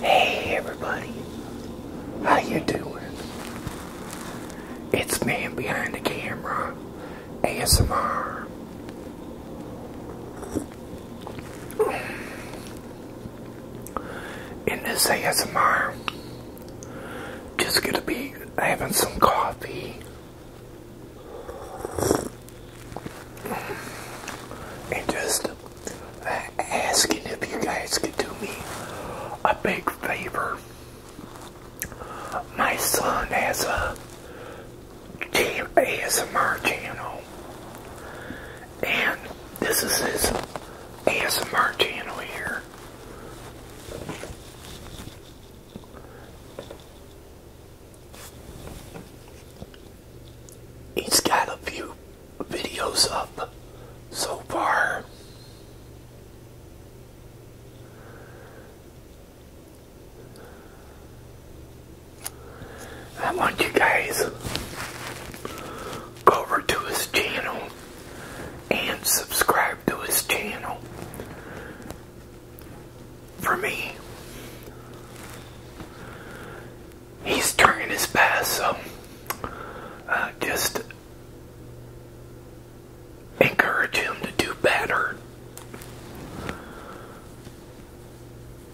Hey everybody, how you doing? It's man behind the camera, ASMR. In this ASMR, just gonna be having some coffee and just uh, asking if you guys could do me a big favor. My son has a ASMR channel, and this is his ASMR channel here. He's got a few videos up so far. I want you guys go over to his channel and subscribe to his channel for me. He's turning his pass, so uh, just encourage him to do better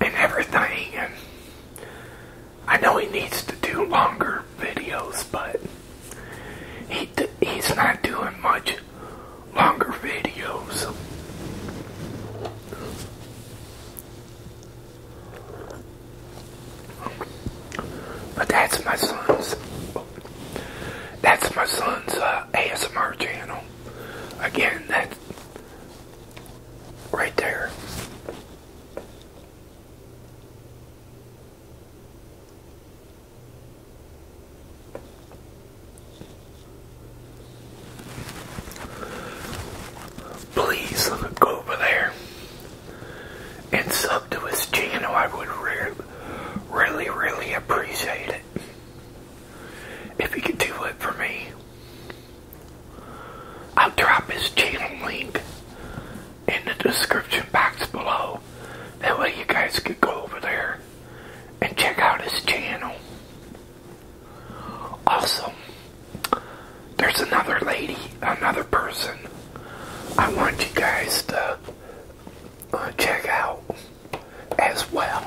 and everything. And I know he needs to do longer videos, but he's not doing much longer videos. But that's my son's. That's my son's uh, ASMR channel. Again, that's right there. Please go over there and sub to his channel. I would really, really appreciate it if you could do it for me. I'll drop his channel link in the description box below. That way you guys could go over there and check out his channel. Also, there's another lady, another person I want you guys to uh, check out as well.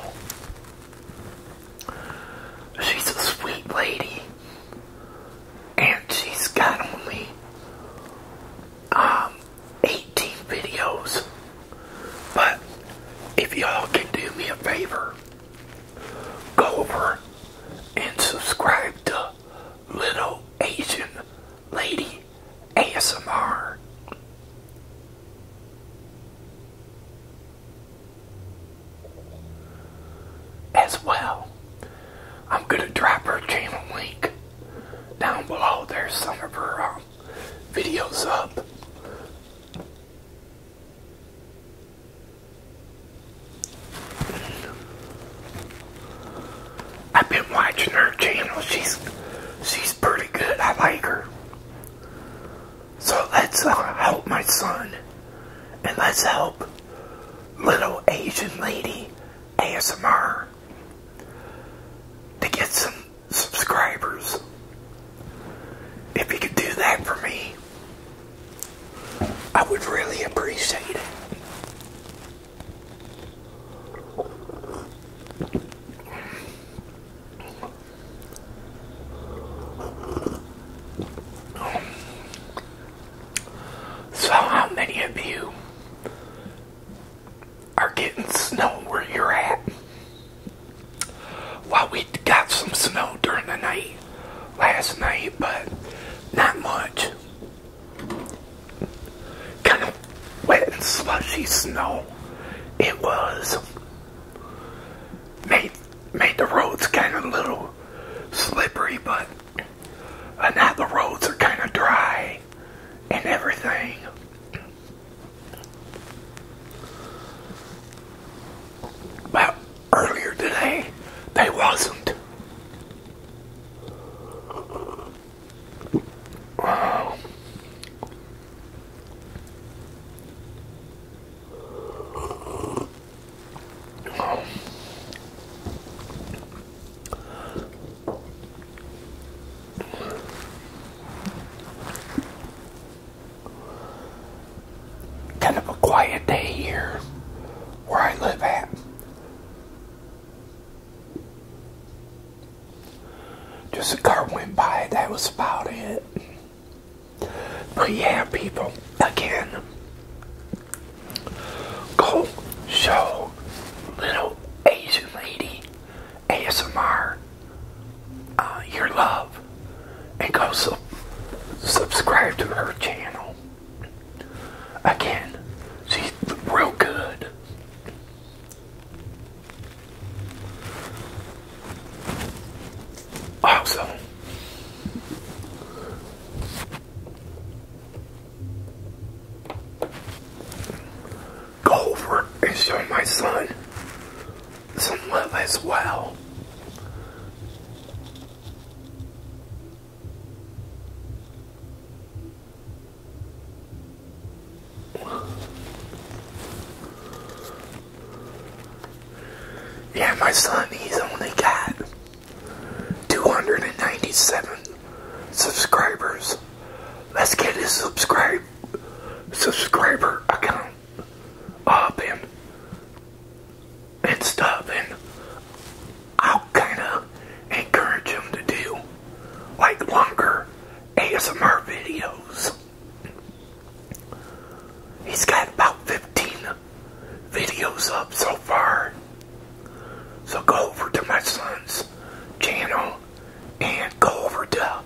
She's a sweet lady, and she's got only um, eight 18 videos. But if y'all can do me a favor, go over and subscribe to Little Asian Lady ASMR. As well, I'm going to drop her channel link down below. There's some of her um, videos up. I've been watching her channel. She's she's pretty good. I like her. So let's uh, help my son, and let's help little Asian lady ASMR to get some subscribers. If you could do that for me, I would really appreciate it. So, how many of you are getting snow where you're at. While we got some snow during the night last night, but not much. Kind of wet and slushy snow. It was made made the roads kind of a little slippery, but uh, now the roads are kind of dry and everything. But earlier today, they wasn't. Kind of a quiet day here where I live at. Just a car went by, that was about it. But yeah, people, again, go show little Asian lady ASMR uh, your love and go su subscribe to her channel. Again, she's real good. Also, go over and show my son some love as well. Yeah, my son, he's only got 297 subscribers. Let's get his subscribe subscriber account up and and stuff and I'll kinda encourage him to do like longer ASMR videos. He's got about 15 videos up so far. So go over to my son's channel and go over to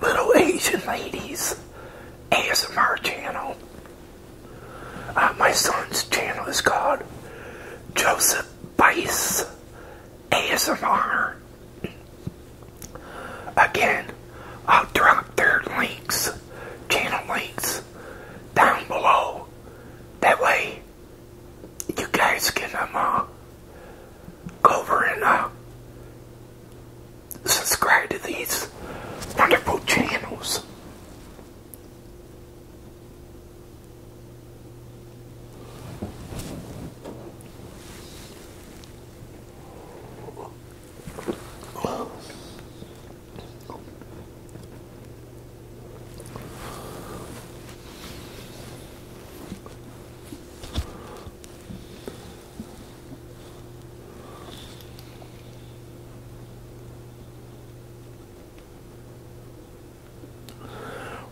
Little Asian Ladies ASMR channel. Uh, my son's channel is called Joseph Bice ASMR. Again, I'll drop their links, channel links, down below. That way, you guys can um, uh, go over and uh, subscribe to these wonderful channels.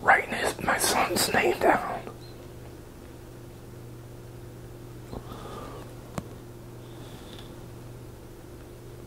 Writing his, my son's name down.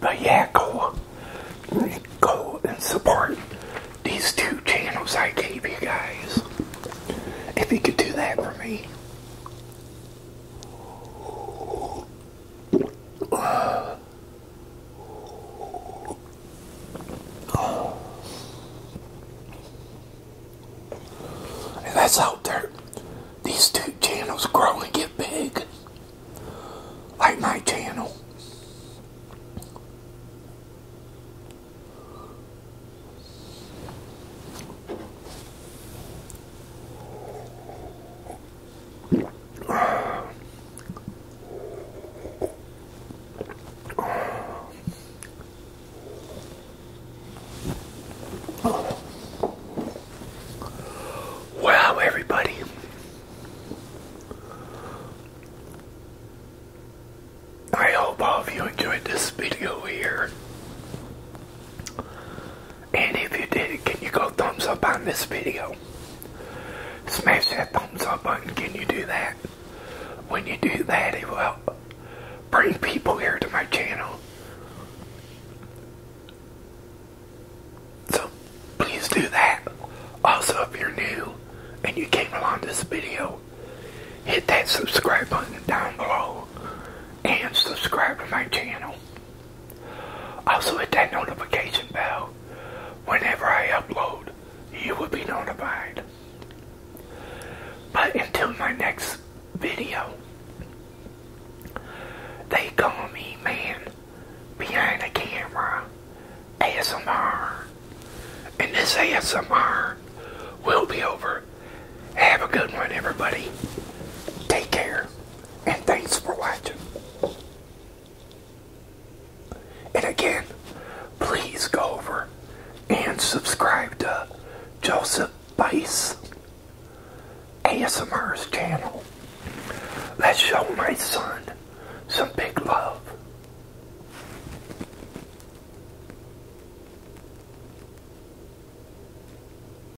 But yeah, go, go and support these two channels I gave you guys. If you could do that for me. And that's out there. These two channels grow and get big. Like my channel. Wow, everybody. I hope all of you enjoyed this video here. And if you did, can you go thumbs up on this video? Smash that thumbs up button. Can you do that? When you do that, it will bring people here to my channel. So please do that. Also, if you're new and you came along this video, hit that subscribe button down below and subscribe to my channel. Also hit that notification bell. Whenever I upload, you will be notified. But until my next video, they call me man behind the camera ASMR. And this ASMR will be over. Have a good one, everybody. Take care and thanks for watching. And again, please go over and subscribe to Joseph Bice ASMR's channel. Let's show my son some big love.